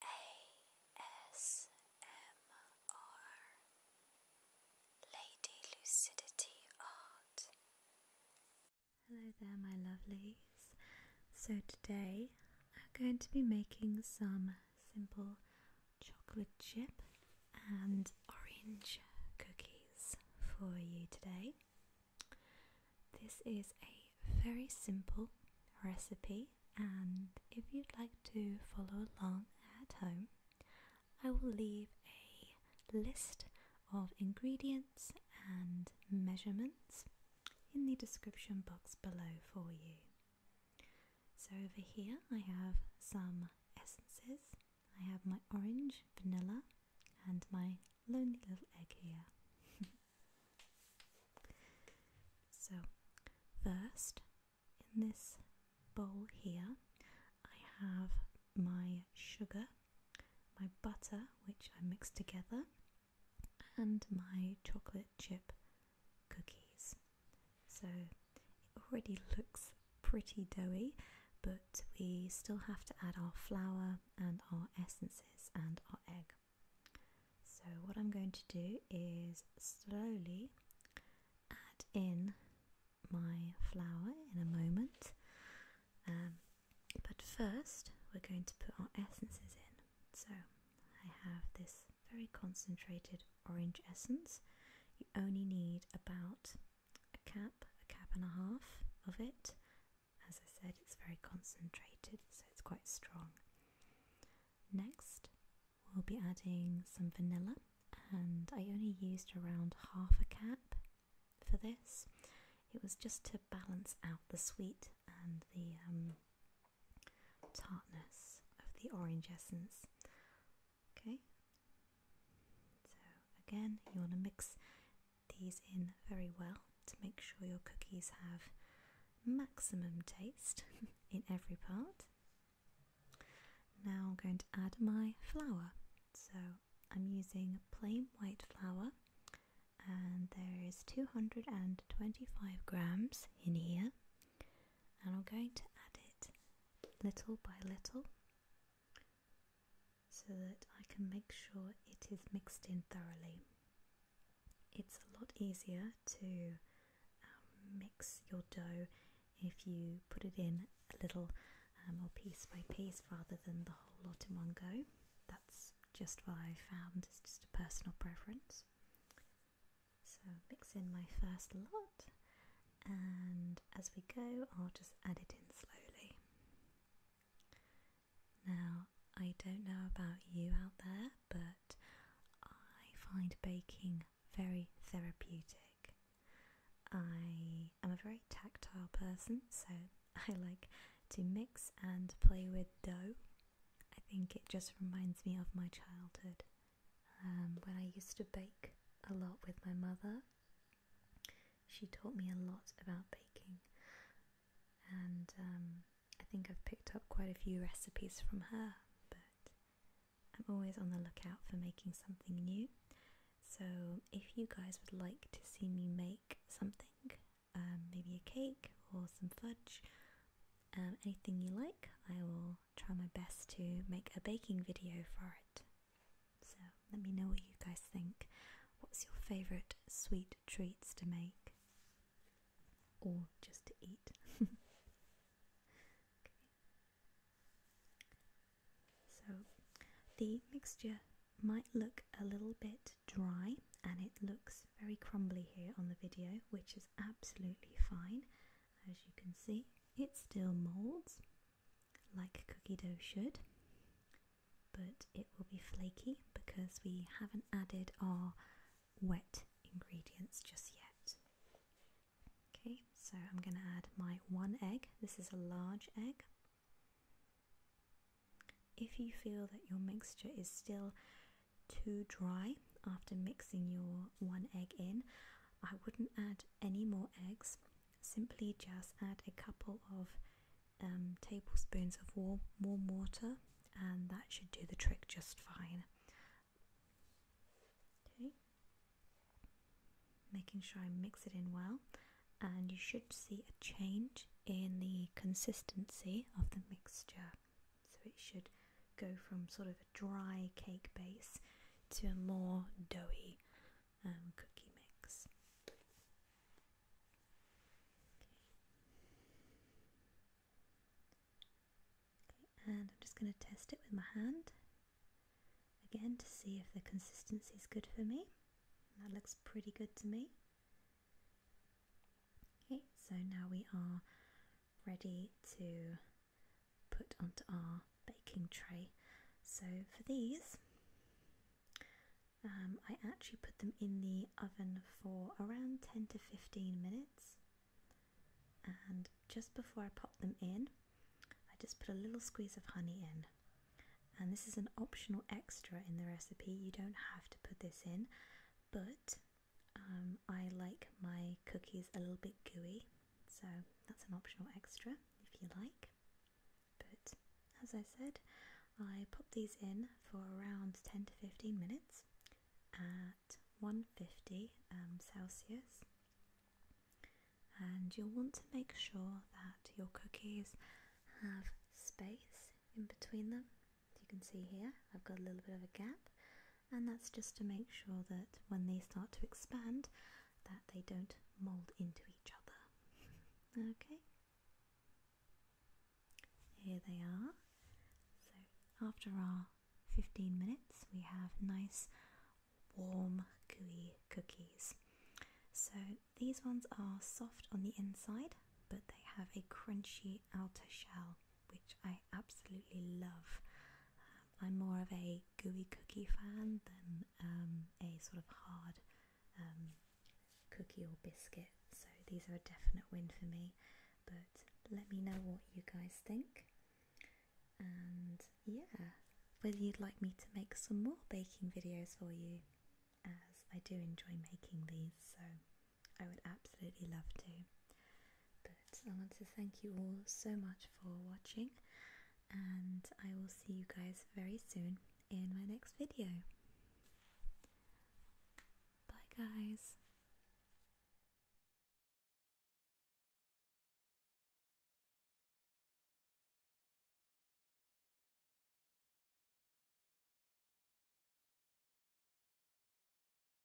ASMR Lady Lucidity Art. Hello there, my lovelies. So, today I'm going to be making some simple chocolate chip and orange cookies for you today. This is a very simple recipe and if you'd like to follow along at home I will leave a list of ingredients and measurements in the description box below for you. So over here I have some essences. I have my orange, vanilla and my lonely little egg here. So, first, in this bowl here, I have my sugar, my butter, which I mixed together, and my chocolate chip cookies. So, it already looks pretty doughy, but we still have to add our flour and our essences and our egg. So what I'm going to do is slowly add in my flower in a moment. Um, but first we're going to put our essences in. So I have this very concentrated orange essence. You only need about a cap, a cap and a half of it as I said, it's very concentrated, so it's quite strong. Next, we'll be adding some vanilla, and I only used around half a cap for this. It was just to balance out the sweet and the um, tartness of the orange essence. Okay, so again, you want to mix these in very well to make sure your cookies have maximum taste in every part. Now I'm going to add my flour. So I'm using plain white flour and there is 225 grams in here and I'm going to add it little by little so that I can make sure it is mixed in thoroughly. It's a lot easier to um, mix your dough if you put it in a little um, or piece by piece rather than the whole lot in one go. That's just what I found, it's just a personal preference. So mix in my first lot and as we go I'll just add it in slowly. Now, I don't know about you out there, but I find baking very therapeutic. I am a very tactile person, so I like to mix and play with dough. I think it just reminds me of my childhood um, when I used to bake a lot with my mother. She taught me a lot about baking, and um, I think I've picked up quite a few recipes from her. But I'm always on the lookout for making something new. So, if you guys would like to see me make something, um, maybe a cake or some fudge, um, anything you like, I will try my best to make a baking video for it. So let me know what you guys think. What's your favourite sweet treats to make? Or just to eat? So the mixture might look a little bit dry and it looks very crumbly here on the video, which is absolutely fine. As you can see, it still molds, like cookie dough should, but it will be flaky because we haven't added our wet ingredients just yet. Okay, so I'm going to add my one egg. This is a large egg. If you feel that your mixture is still too dry after mixing your one egg in, I wouldn't add any more eggs simply just add a couple of um, tablespoons of warm, warm water and that should do the trick just fine. Okay, making sure I mix it in well and you should see a change in the consistency of the mixture. So it should go from sort of a dry cake base to a more doughy um, cookie mix. Okay. and I'm just going to test it with my hand again to see if the consistency is good for me. That looks pretty good to me. Okay, so now we are ready to put onto our baking tray. So for these, um, I actually put them in the oven for around 10 to 15 minutes. And just before I pop them in, I just put a little squeeze of honey in. And this is an optional extra in the recipe. You don't have to put this in, but um, I like my cookies a little bit gooey so that's an optional extra if you like. But as I said, I pop these in for around 10 to 15 minutes at 150 um, Celsius. And you'll want to make sure that your cookies have space in between them. As you can see here, I've got a little bit of a gap and that's just to make sure that when they start to expand that they don't mold into each other. okay? Here they are. So after our 15 minutes we have nice warm gooey cookies. So these ones are soft on the inside but they have a crunchy outer shell which I absolutely love. I'm more of a gooey cookie fan than um, a sort of hard um, cookie or biscuit. So these are a definite win for me. But let me know what you guys think. And yeah, whether you'd like me to make some more baking videos for you, as I do enjoy making these, so I would absolutely love to. But I want to thank you all so much for watching, and I will see you guys very soon in my next video. Bye, guys.